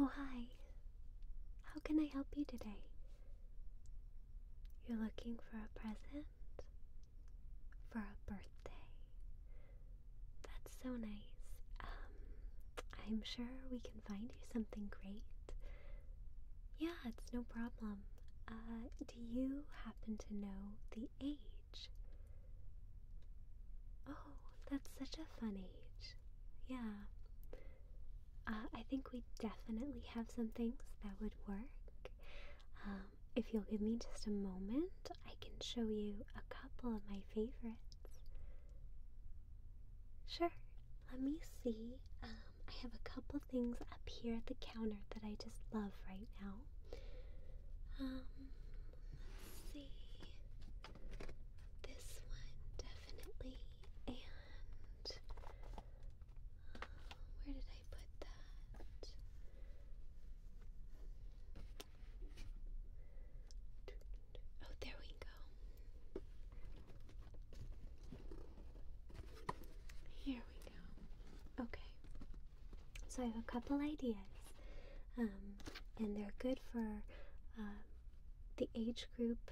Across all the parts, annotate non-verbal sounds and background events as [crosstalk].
Oh, hi. How can I help you today? You're looking for a present? For a birthday? That's so nice. Um, I'm sure we can find you something great. Yeah, it's no problem. Uh, do you happen to know the age Oh, that's such a fun age. Yeah. Uh, I think we definitely have some things that would work. Um, if you'll give me just a moment, I can show you a couple of my favorites. Sure. Let me see. Um, I have a couple things up here at the counter that I just love right now. Um, let's see. This one definitely, and uh, where did I put that? Oh, there we go. Here we go. Okay. So I have a couple ideas, um, and they're good for uh, the age group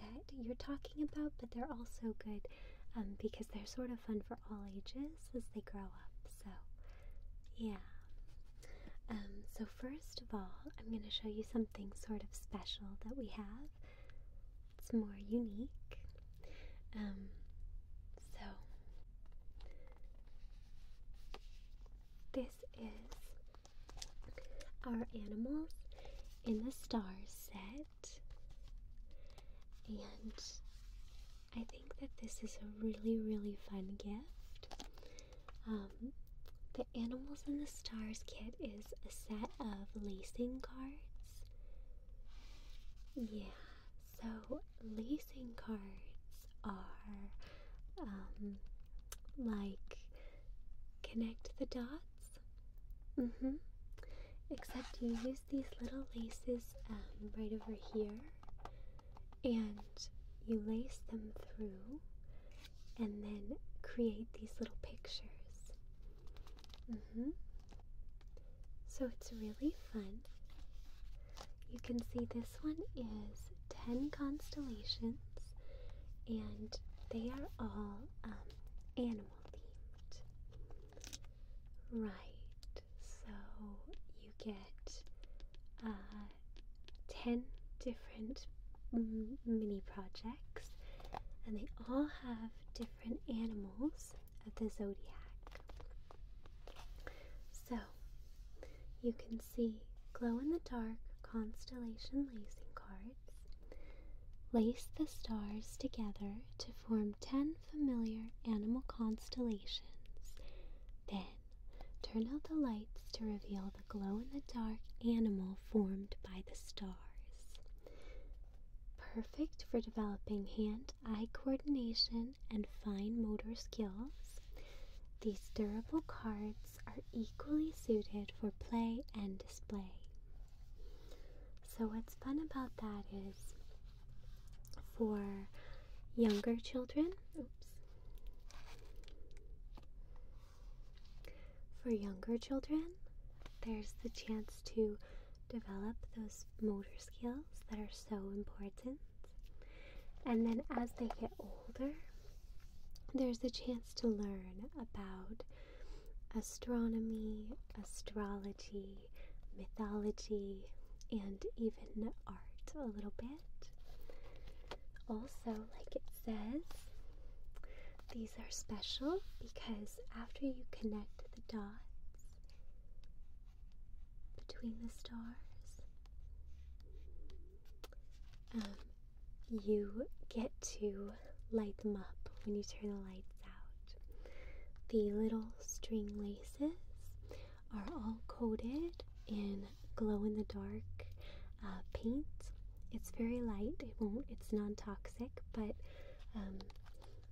that you're talking about, but they're also good um, because they're sort of fun for all ages as they grow up. So, yeah. Um, so, first of all, I'm going to show you something sort of special that we have. It's more unique. so, this is our animals in the stars set. And I think that this is a really, really fun gift. Um, the Animals in the Stars kit is a set of lacing cards. Yeah, so, lacing cards are um, like connect the dots. Mm-hmm. Except you use these little laces um, right over here and you lace them through and then create these little pictures. Mm-hmm. So it's really fun. You can see this one is 10 constellations, and they are all um, animal themed. Right, so you get uh, 10 different mini projects, and they all have different animals of the zodiac. So, you can see glow in the dark constellation lacing cards. Lace the stars together to form 10 familiar animal constellations. Then, turn out the lights to reveal the glow in the dark animal formed by the stars. Perfect for developing hand eye coordination and fine motor skills, these durable cards are equally suited for play and display. So, what's fun about that is for younger children, for younger children, there's the chance to develop those motor skills that are so important. And then as they get older, there's a chance to learn about astronomy, astrology, mythology, and even art a little bit. Also, like it says, these are special because after you connect the dots, between the stars. Um, you get to light them up when you turn the lights out. The little string laces are all coated in glow in the dark uh, paint. It's very light, it won't, it's non toxic, but um,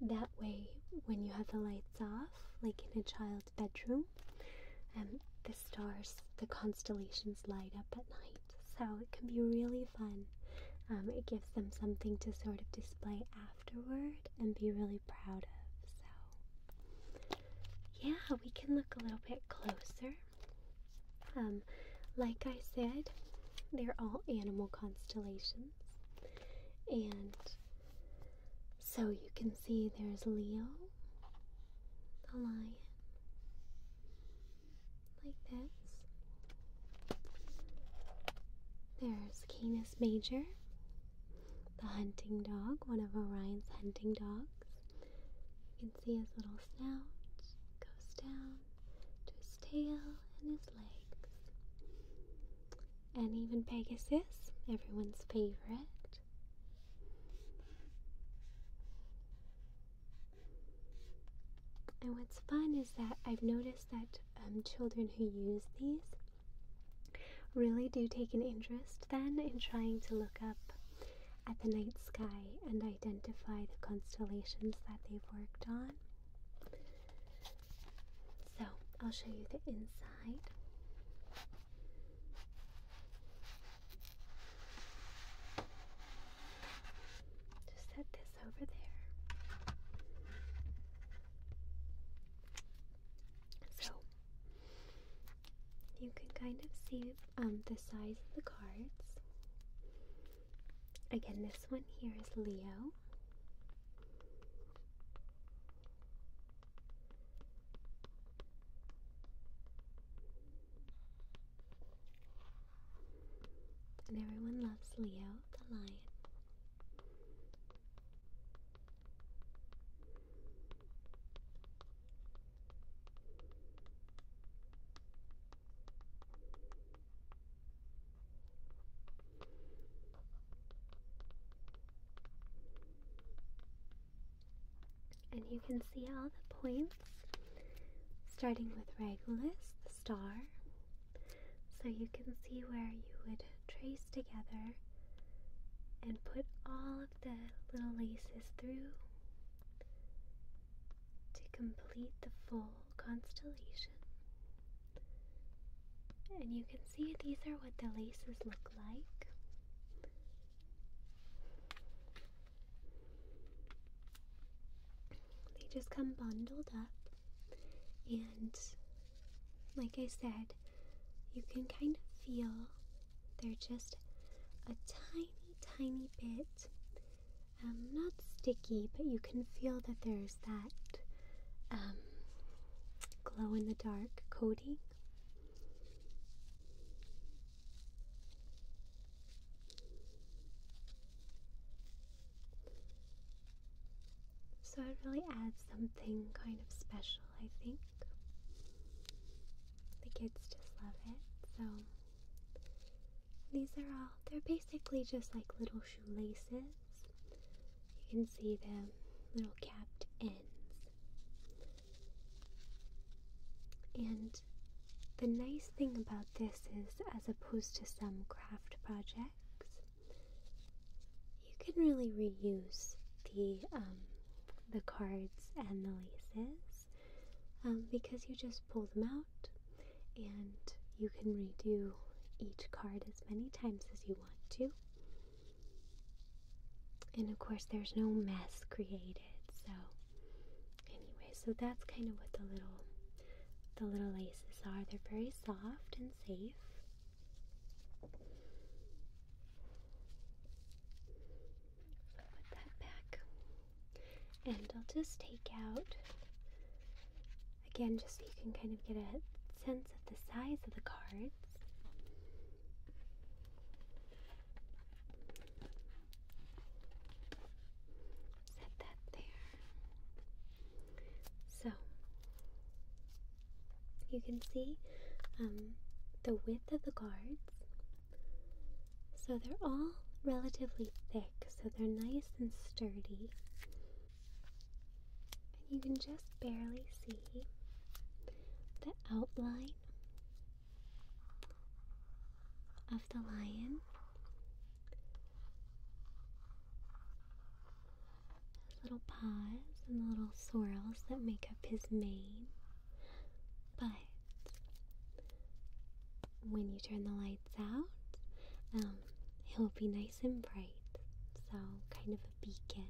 that way when you have the lights off, like in a child's bedroom. And um, the stars, the constellations light up at night, so it can be really fun. Um, it gives them something to sort of display afterward and be really proud of. So, yeah, we can look a little bit closer. Um, like I said, they're all animal constellations, and so you can see there's Leo, the lion, like this. There's Canis Major, the hunting dog, one of Orion's hunting dogs. You can see his little snout goes down to his tail and his legs. And even Pegasus, everyone's favorite. And what's fun is that I've noticed that um, children who use these really do take an interest then in trying to look up at the night sky and identify the constellations that they've worked on. So I'll show you the inside. Just set this over there. So you can kind of see um, the size of the cards. Again, this one here is Leo. And everyone loves Leo the lion. And you can see all the points, starting with Regulus, the star. So you can see where you would trace together and put all of the little laces through to complete the full constellation. And you can see these are what the laces look like. They just come bundled up, and like I said, you can kind of feel they're just a tiny, tiny bit um, not sticky, but you can feel that there's that um, glow in the dark coating so it really adds something kind of special, I think. The kids just love it. So these are all, they're basically just like little shoelaces. You can see them little capped ends. And the nice thing about this is, as opposed to some craft projects, you can really reuse the um, the cards and the laces um, because you just pull them out and you can redo each card as many times as you want to. And of course, there's no mess created. So, anyway, so that's kind of what the little the little laces are. They're very soft and safe. put that back, and I'll just take out again, just so you can kind of get a sense of the size of the cards. Set that there. So you can see um, the width of the guards. So they're all relatively thick, so they're nice and sturdy. And you can just barely see the outline of the lion. His little paws and the little swirls that make up his mane. But when you turn the lights out, um, he'll be nice and bright, so kind of a beacon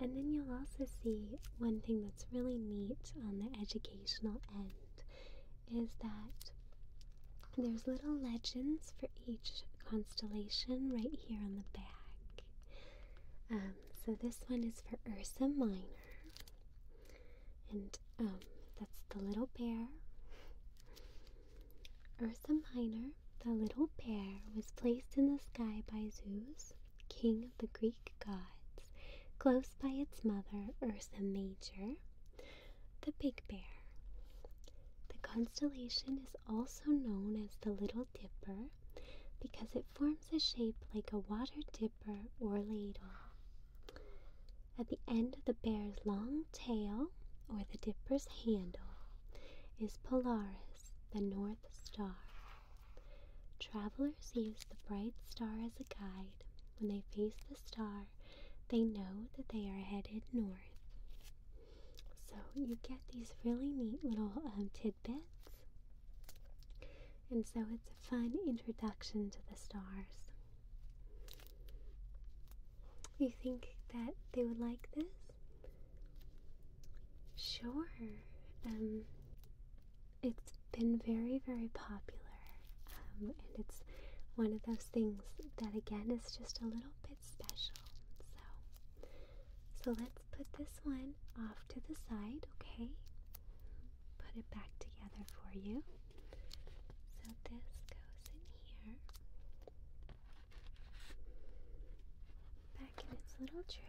and then you'll also see one thing that's really neat on the educational end is that there's little legends for each constellation right here on the back. Um, so this one is for Ursa Minor, and um, that's the little bear. Ursa Minor the little bear was placed in the sky by Zeus, king of the Greek gods, close by its mother, Ursa Major, the big bear. The constellation is also known as the Little Dipper because it forms a shape like a water dipper or ladle. At the end of the bear's long tail, or the dipper's handle, is Polaris, the North Star. Travelers use the bright star as a guide. When they face the star, they know that they are headed north. So you get these really neat little um, tidbits. And so it's a fun introduction to the stars. You think that they would like this? Sure. Um, it's been very, very popular. Um, and it's one of those things that, again, is just a little bit special. So, so let's put this one off to the side, okay? Put it back together for you. So this goes in here back in its little tray.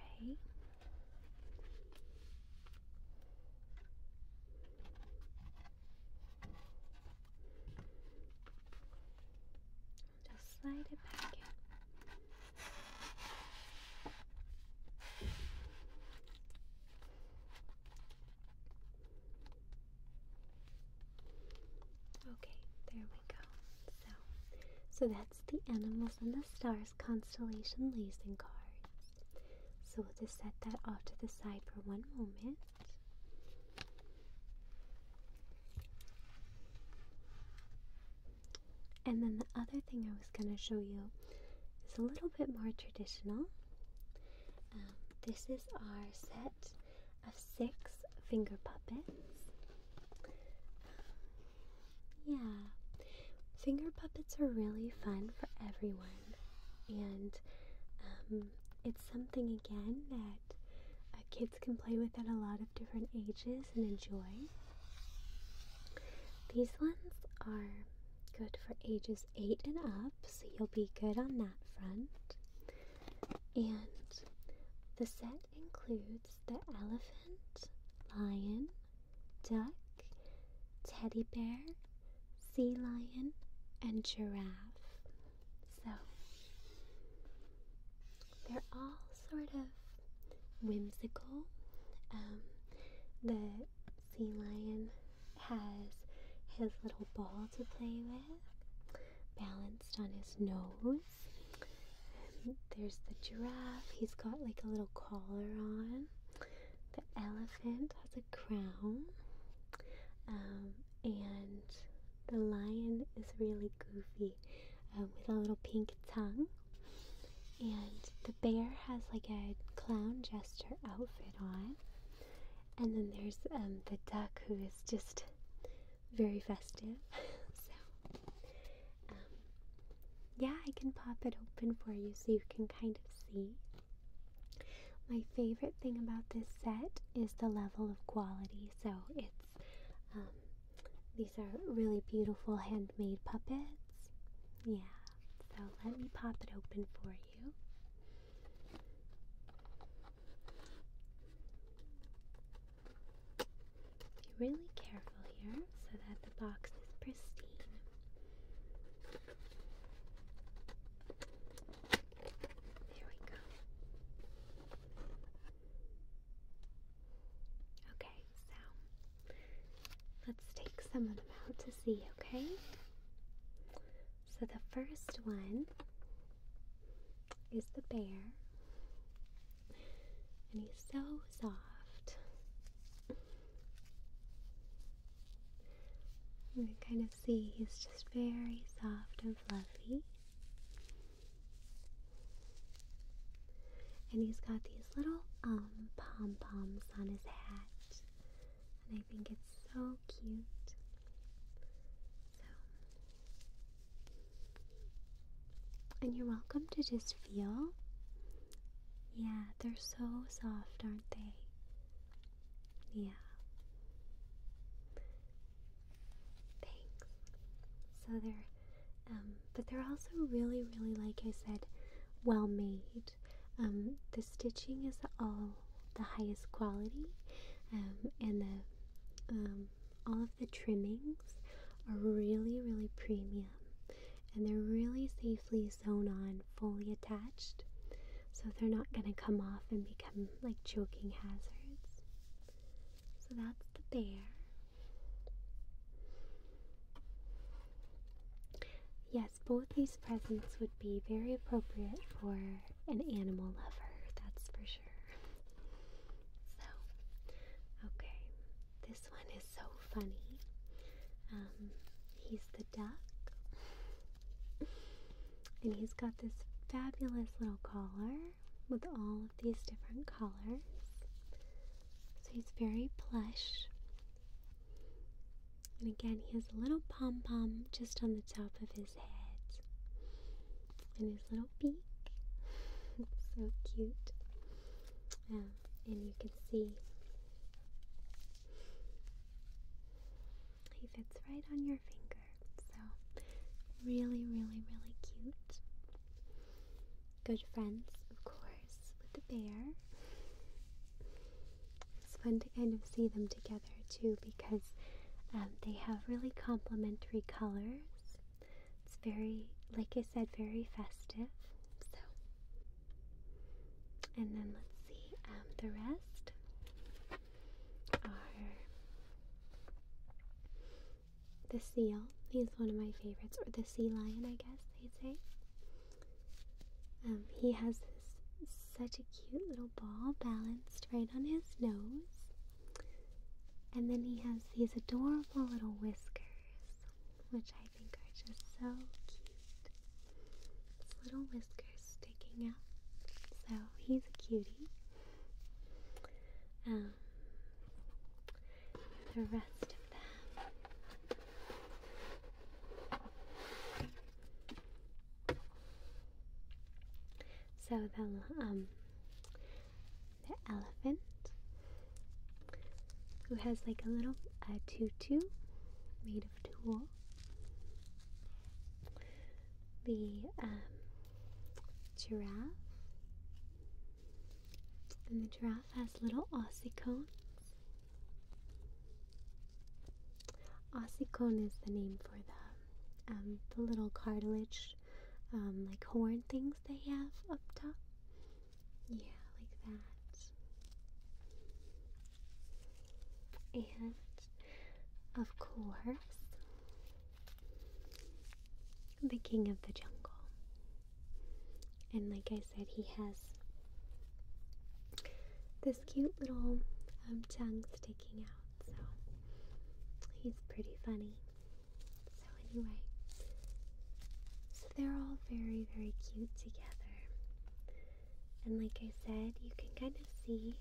Just slide it back in. Okay, there we go. So, so that's the Animals and the Stars constellation lacing cards. So we'll just set that off to the side for one moment. And then the other thing I was going to show you is a little bit more traditional. Um, this is our set of six finger puppets. Yeah, finger puppets are really fun for everyone, and um, it's something again that uh, kids can play with at a lot of different ages and enjoy. These ones are good for ages 8 and up, so you'll be good on that front. And the set includes the elephant, lion, duck, teddy bear, sea lion, and giraffe. So they're all sort of whimsical. Um, the sea lion has his little ball to play with, balanced on his nose. Um, there's the giraffe. He's got like a little collar on. The elephant has a crown. Um, and the lion is really goofy uh, with a little pink tongue. And the bear has like a clown jester outfit on. And then there's um, the duck who is just very festive. [laughs] so yeah, I can pop it open for you so you can kind of see. My favorite thing about this set is the level of quality. So it's um, these are really beautiful handmade puppets. Yeah, so let me pop it open for you. Be really careful here so that the box is pristine. There we go. Okay, so let's take some of them out to see, okay? So the first one is the bear and he's so soft. You can kind of see he's just very soft and fluffy. And he's got these little um, pom poms on his hat. And I think it's so cute. And you're welcome to just feel. Yeah, they're so soft, aren't they? Yeah. Thanks. So they're, um, but they're also really, really, like I said, well made. Um, the stitching is all the highest quality, um, and the um, all of the trimmings are really, really premium and they're really safely sewn on, fully attached, so they're not going to come off and become like choking hazards. So that's the bear. Yes, both these presents would be very appropriate for an animal lover, that's for sure. [laughs] So, okay, this one is so funny. Um, he's the duck, and he's got this fabulous little collar with all of these different colors. So he's very plush. And again, he has a little pom pom just on the top of his head, and his little beak. [laughs] so cute. Um, and you can see he fits right on your finger. So, really, really, really cute. Good friends, of course, with the bear. It's fun to kind of see them together too because um, they have really complementary colors. It's very, like I said, very festive. So, and then let's see, um, the rest are the seal. He's one of my favorites, or the sea lion, I guess they say. Um, he has this, such a cute little ball balanced right on his nose. And then he has these adorable little whiskers which I think are just so cute. His little whiskers sticking out. So he's a cutie. Um, the rest of them. So the um the elephant who has like a little uh, tutu made of tulle. The um, giraffe, and the giraffe has little ossicones. Ossicones is the name for the um, the little cartilage, um, like horn things they have up top. Yeah, like that. And of course, the king of the jungle. And like I said, he has this cute little um, tongue sticking out, so he's pretty funny. So, anyway, they're all very, very cute together. And like I said, you can kind of see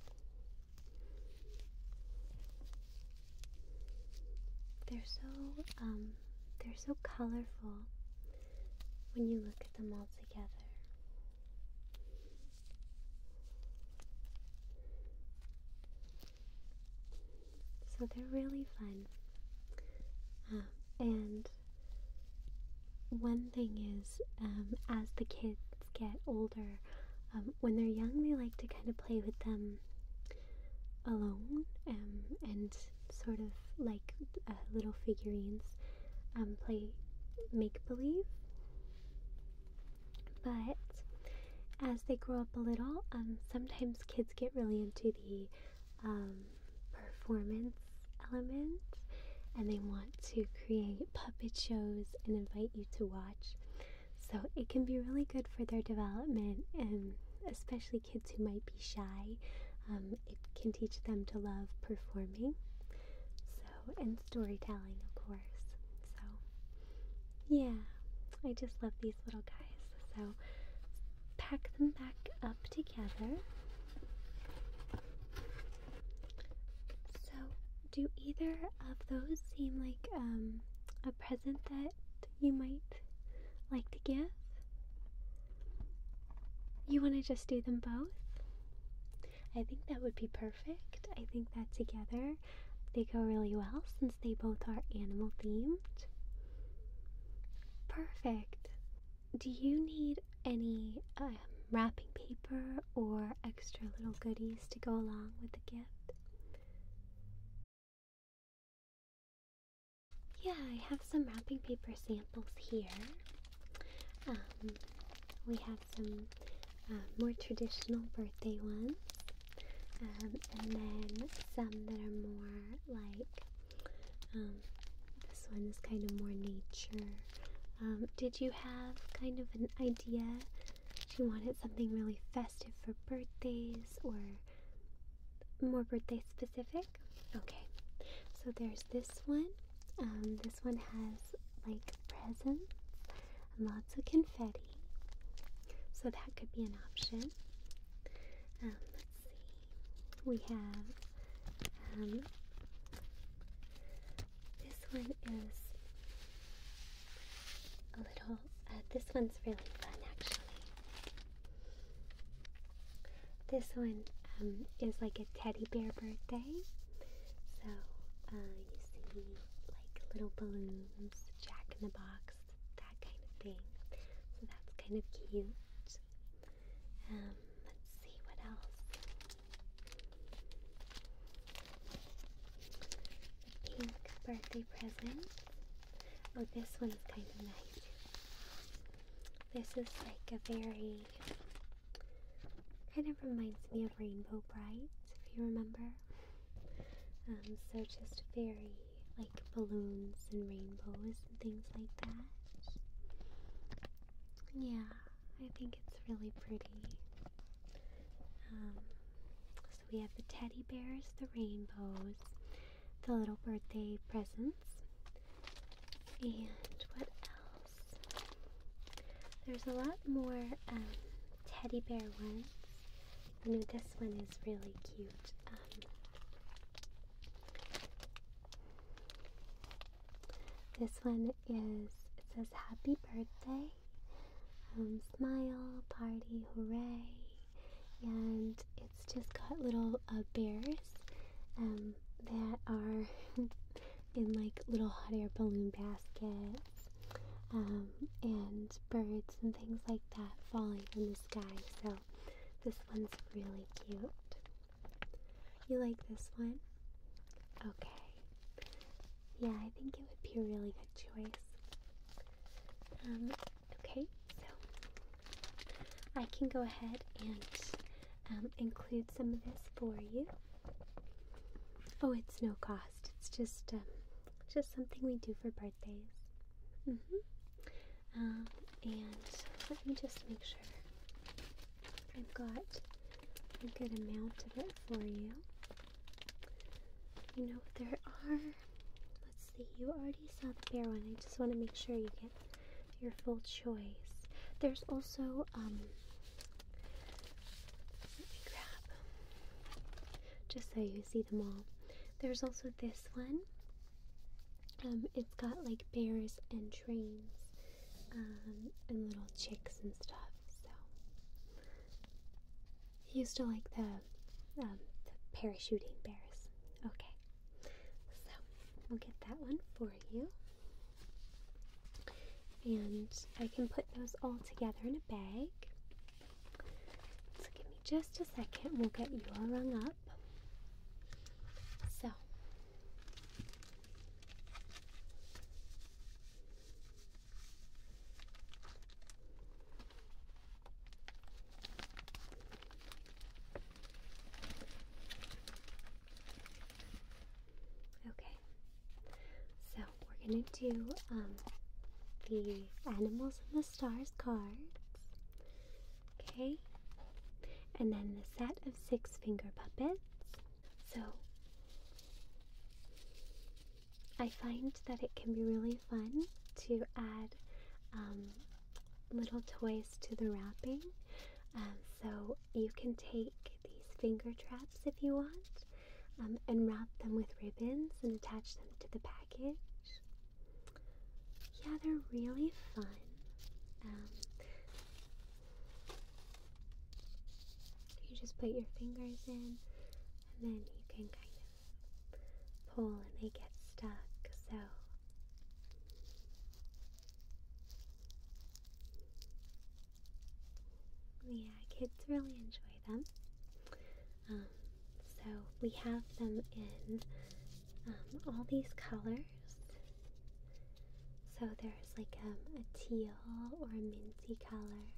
they're so um they're so colorful when you look at them all together. So they're really fun. Um, and one thing is um, as the kids get older, um, when they're young, they like to kind of play with them alone um, and sort of like uh, little figurines play make believe. But as they grow up a little, sometimes kids get really into the um, performance elements, and they want to create puppet shows and invite you to watch. So it can be really good for their development and especially kids who might be shy. Um, it can teach them to love performing. So, and storytelling, of course. So, yeah, I just love these little guys. So pack them back up together. So, do either of those seem like um, a present that you might like to give? You want to just do them both? I think that would be perfect. I think that together they go really well since they both are animal themed. Perfect do you need any um, wrapping paper or extra little goodies to go along with the gift? Yeah, I have some wrapping paper samples here. Um, we have some uh, more traditional birthday ones, um, and then some that are more like um, this one is kind of more nature. Um, did you have kind of an idea? She wanted something really festive for birthdays or more birthday specific? Okay, so there's this one. Um, this one has like presents and lots of confetti. So that could be an option. let's see we have um, this one is a little, uh, this one's really fun actually. This one um, is like a teddy bear birthday. So uh, you see like little balloons, jack in the box, that kind of thing. So that's kind of cute. Um, let's see what else. pink birthday present. Oh, this one's kind of nice. This is like a very kind of reminds me of Rainbow Bright, if you remember. Um, so just very like balloons and rainbows things like that. Yeah, I think it's really pretty. Um, so we have the teddy bears, the rainbows, the little birthday presents, and what else? There's a lot more um, teddy bear ones. I know this one is really cute. Um, this one is, it says happy birthday, um, smile, party, hooray, and it's just got little uh, bears um, that are [laughs] in like little hot air balloon baskets um, and birds and things like that falling from the sky. So this one's really cute. You like this one? Okay. Yeah, I think it would be a really good choice. Um, okay, so I can go ahead and um, include some of this for you. Oh, it's no cost. It's just um, just something we do for birthdays. hmm and let me just make sure I've got a good amount of it for you. You know, what there are, let's see, you already saw the bear one. I just want to make sure you get your full choice. There's also, um, let me grab, just so you see them all. There's also this one, um, it's got like bears and trains um, and little chicks and stuff. So I used to like um, the, parachuting bears. Okay, so we'll get that one for you. And I can put those all together in a bag. So give me just a second, we'll get your all rung up. So Okay. So we're gonna do um, the animals and the stars cards. Okay, and then the set of six finger puppets. So, I find that it can be really fun to add um, little toys to the wrapping. Um, so, you can take these finger traps if you want um, and wrap them with ribbons and attach them to the package. Yeah, they're really fun. You just put your fingers in, and then you can kind of pull, and they get stuck. So. Yeah, kids really enjoy them. Um, so we have them in um, all these colors. So there's like um, a teal or a minty color.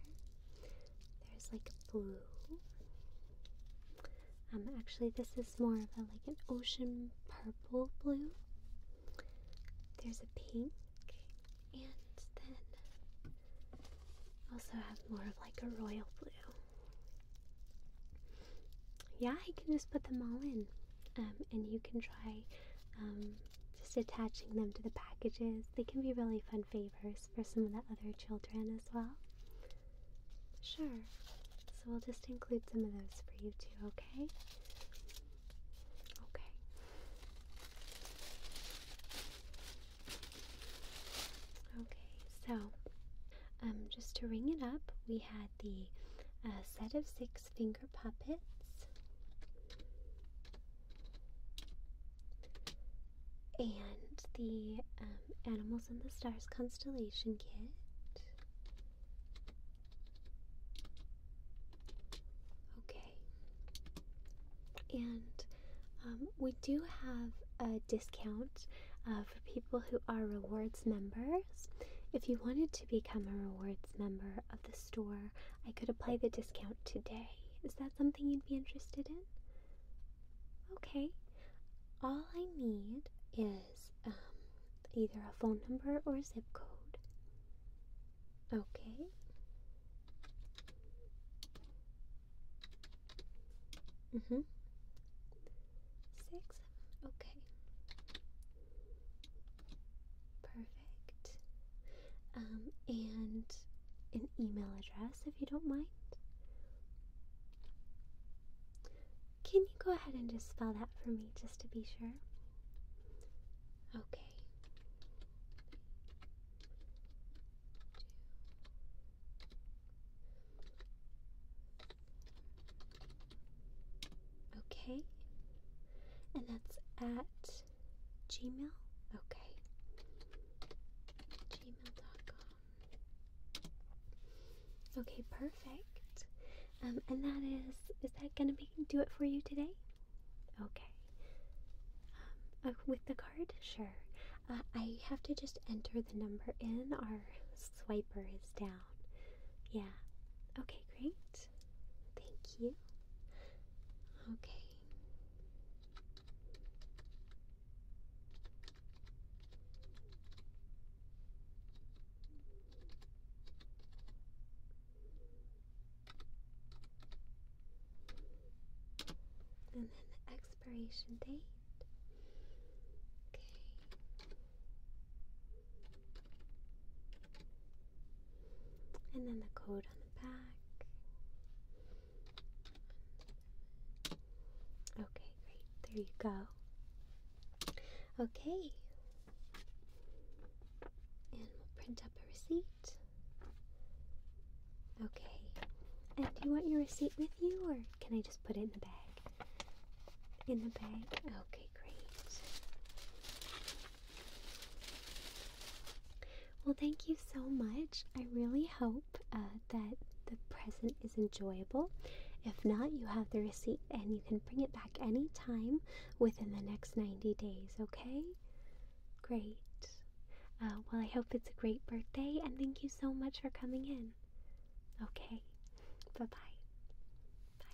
There's like a blue. Um, actually, this is more of a like an ocean purple blue. There's a pink, and then also have more of like a royal blue. Yeah, I can just put them all in. Um, and you can try um, just attaching them to the packages. They can be really fun favors for some of the other children as well. Sure. So we'll just include some of those for you too, okay? Okay. Okay, so um, just to ring it up, we had the uh, set of six finger puppets. And the um, Animals in the Stars Constellation Kit. Okay. And um, we do have a discount uh, for people who are rewards members. If you wanted to to become a rewards member of the store, I could apply the discount today. Is that something you'd be interested in? Okay. All I need is um, either a phone number or a zip code. Okay. Mm-hmm. Six Okay. Perfect. Um, and an email address if you don't mind. Can you go ahead and just spell that for me just to be sure? Okay. Okay. And that's at Gmail? Okay. Gmail.com. Okay, perfect. Um, and that is, is that gonna be, do it for you today? Okay. Um, oh, with the card? Sure. Uh, I have to just enter the number in. Our swiper is down. Yeah. Okay, great. Thank you. Okay. And then the expiration date. Okay. And then the code on the back. Okay, great. There you go. Okay. And we'll print up a receipt. Okay. And do you want your receipt with you or can I just put it in the bag? In the bag? Okay, great. Well, thank you so much. I really hope uh, that the present is enjoyable. If not, you have the receipt and you can bring it back anytime within the next 90 days, okay? Great. Uh, well, I hope it's a great birthday and thank you so much for coming in. Okay, bye bye. Bye.